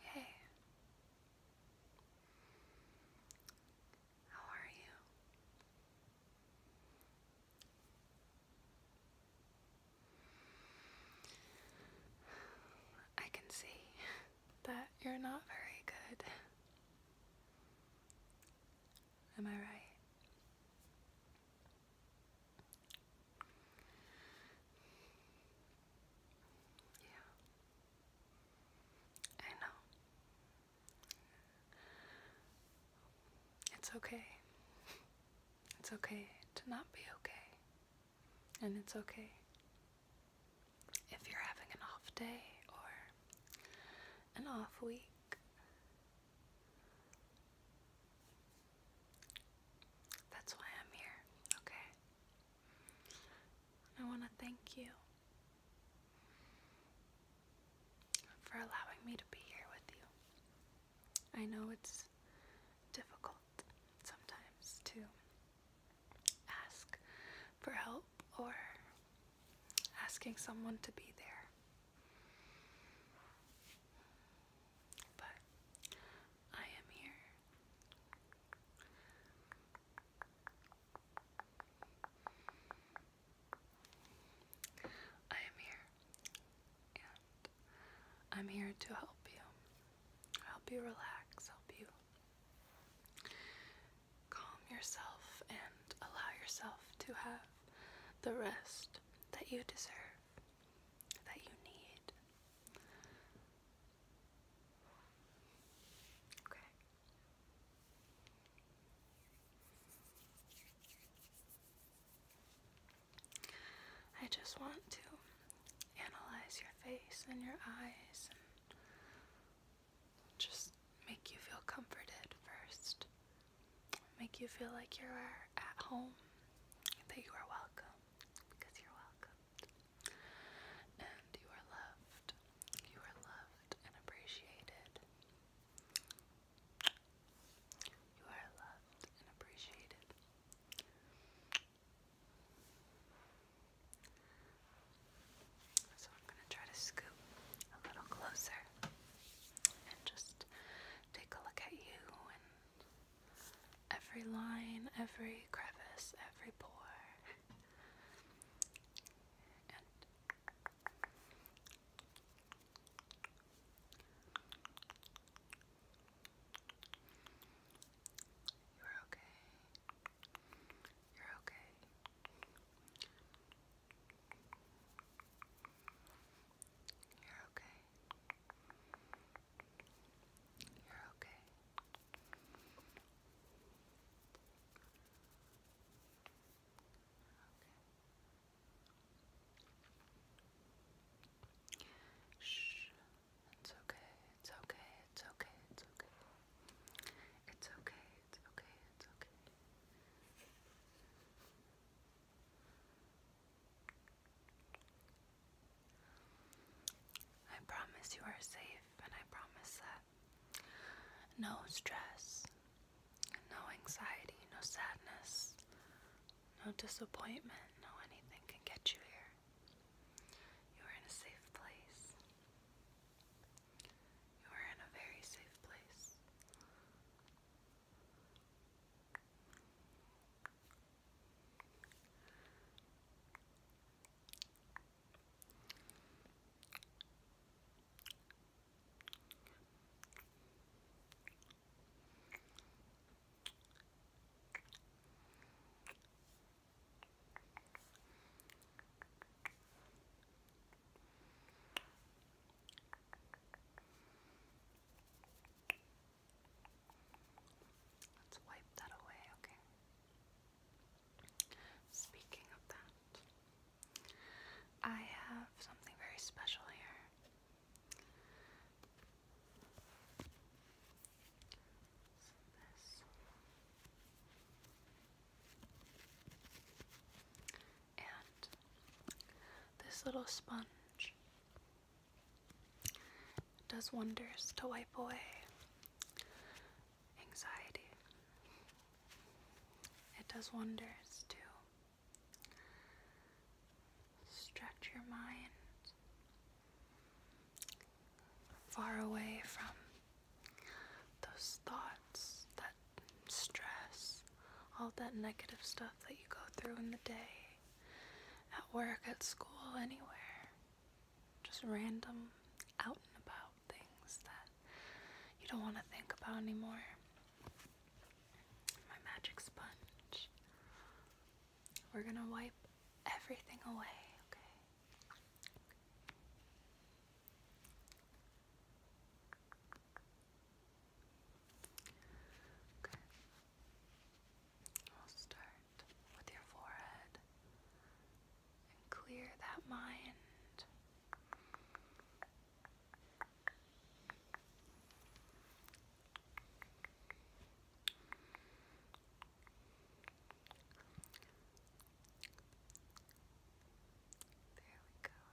Hey, how are you? I can see that you're not very good. Am I right? Yeah. I know. It's okay. It's okay to not be okay. And it's okay if you're having an off day or an off week that's why I'm here, okay? I want to thank you for allowing me to be here with you. I know it's difficult sometimes to ask for help or asking someone to be there. But I am here. I am here. And I'm here to help you. Help you relax, help you calm yourself, and allow yourself to have the rest that you deserve, that you need. Okay. I just want to analyze your face and your eyes and just make you feel comforted first make you feel like you're at home, that you are welcome, because you're welcome. And you are loved. You are loved and appreciated. You are loved and appreciated. So I'm going to try to scoop a little closer and just take a look at you and every line, every crevice, every pore. you're okay. You're okay. You're okay. You're okay. Okay. Shh. It's okay. It's okay. It's okay. It's okay. It's okay it's okay, it's okay. I promise you are safe, and I promise that no stress, no anxiety, no sadness, no disappointment, no anything can get you here. You are in a safe place. You are in a very safe place. Let's wipe that away, okay? Speaking of that, I have something very special here. And this little sponge does wonders to wipe away anxiety. It does wonders to stretch your mind far away from those thoughts, that stress, all that negative stuff that you go through in the day, at work, at school, anywhere. Just random out and about things that you don't want to think about anymore. My magic sponge. We're going to wipe everything away, okay? I'll start with your forehead and clear that mind. There we go.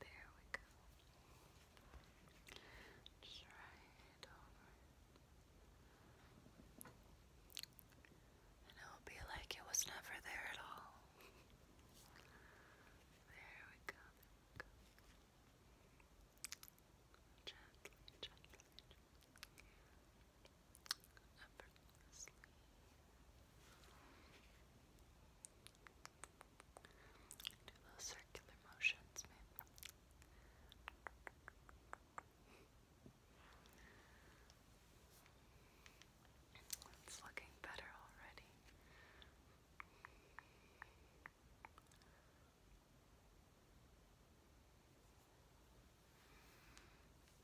There we go. Just right over. And it will be like it was never there at all. There we go. There we go effortlessly. Do those circular motions, maybe. It's looking better already.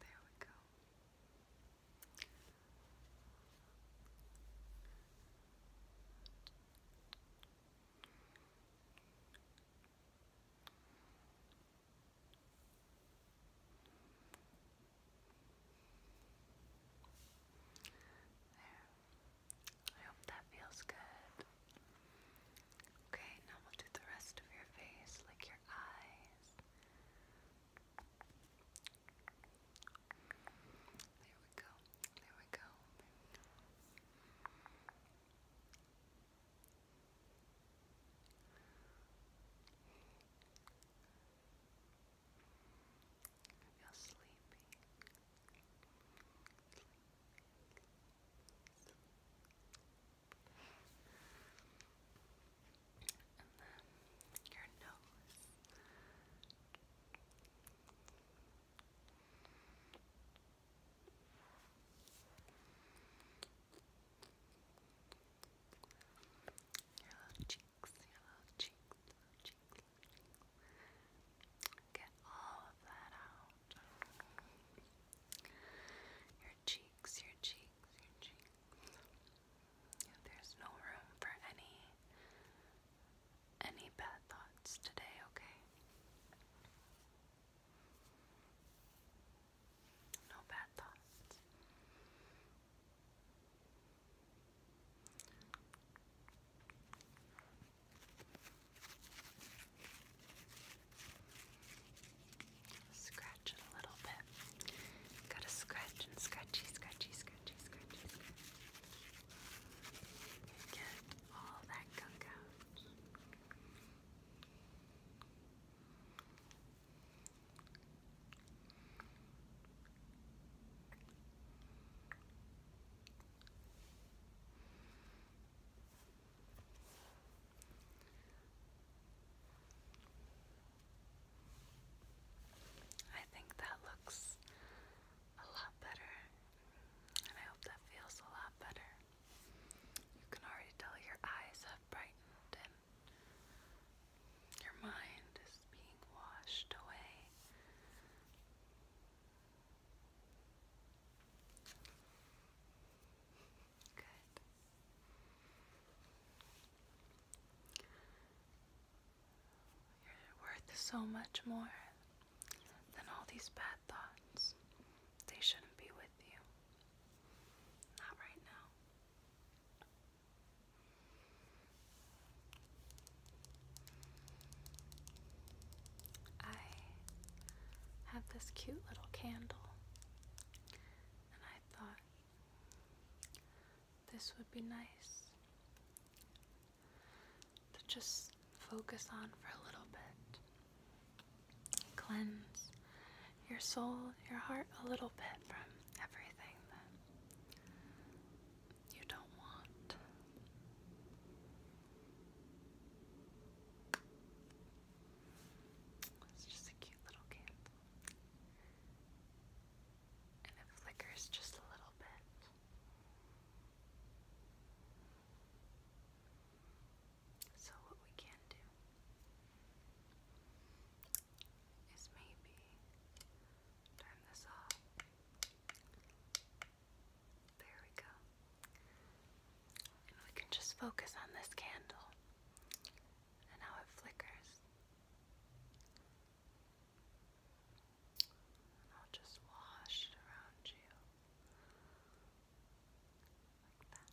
There we go. There. I hope that feels good. Okay, now we'll do the rest of your face, like your eyes. There we go. There we go. There we sleepy. And then your nose. Your little cheeks, your little cheeks. Get all of that out. Your cheeks, your cheeks, your cheeks. There's no room for any any bad thoughts today, okay? No bad thoughts. Scratch it a little bit. Gotta scratch and scratchy, scratchy, scratchy, scratchy, scratchy. Get all that gunk out. I think that looks a lot better, and I hope that feels a lot better. You can already tell your eyes have brightened your mind is being washed away. You're worth so much more than all these bad thoughts. They shouldn't be with you. Not right now. I have this cute little candle, and I thought this would be nice to just focus on for a little bit. Cleanse your soul, your heart a little bit from everything that you don't want. It's just a cute little candle. And it flickers just a little bit. So, what we can do is maybe turn this off there we go. we can just focus on this candle and how it flickers. I'll just wash it around you. Like that.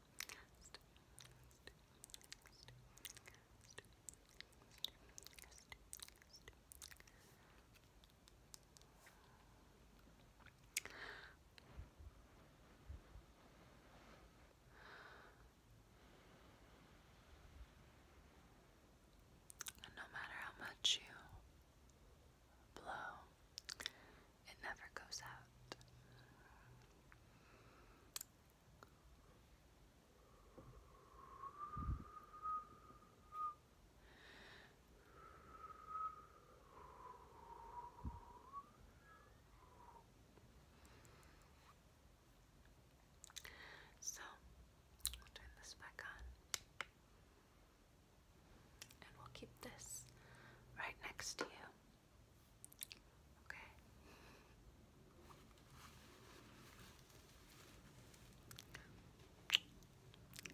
And no matter how much you blow, it never goes out. So turn this back on and we'll keep this right next to you.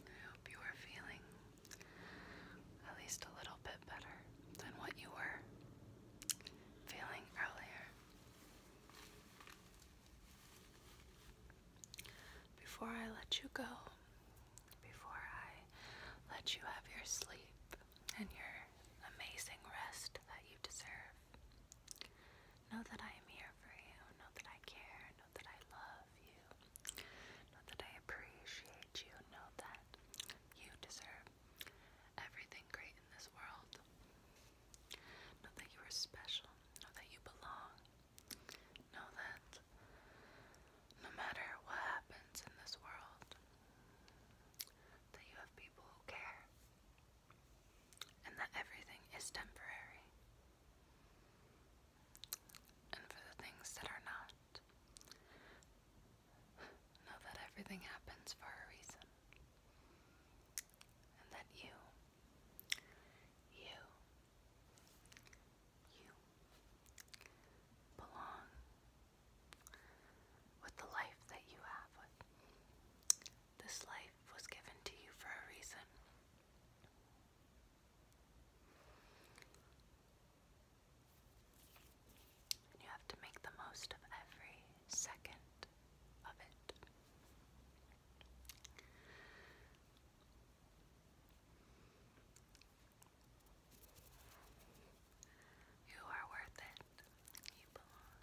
I hope you are feeling at least a little bit better than what you were feeling earlier. Before I let you go, before I let you have your sleep, and your amazing rest that you deserve. Know that I am here for you. Know that I care. Know that I love you. Know that I appreciate you. Know that you deserve everything great in this world. Know that you are special. Know that you belong. Know that no matter what happens in this world, that you have people who care, and that everything is temporary. And for the things that are not, know that everything happens for a reason, and that you, you, you belong with the life that you have. This life was given to you for a reason. you have to make the most of every second of it. You are worth it. You belong.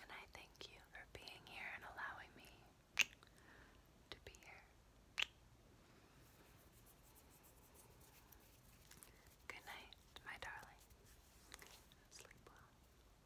And I thank you for being here and allowing me to be here. Good night, my darling. Sleep well. Bye.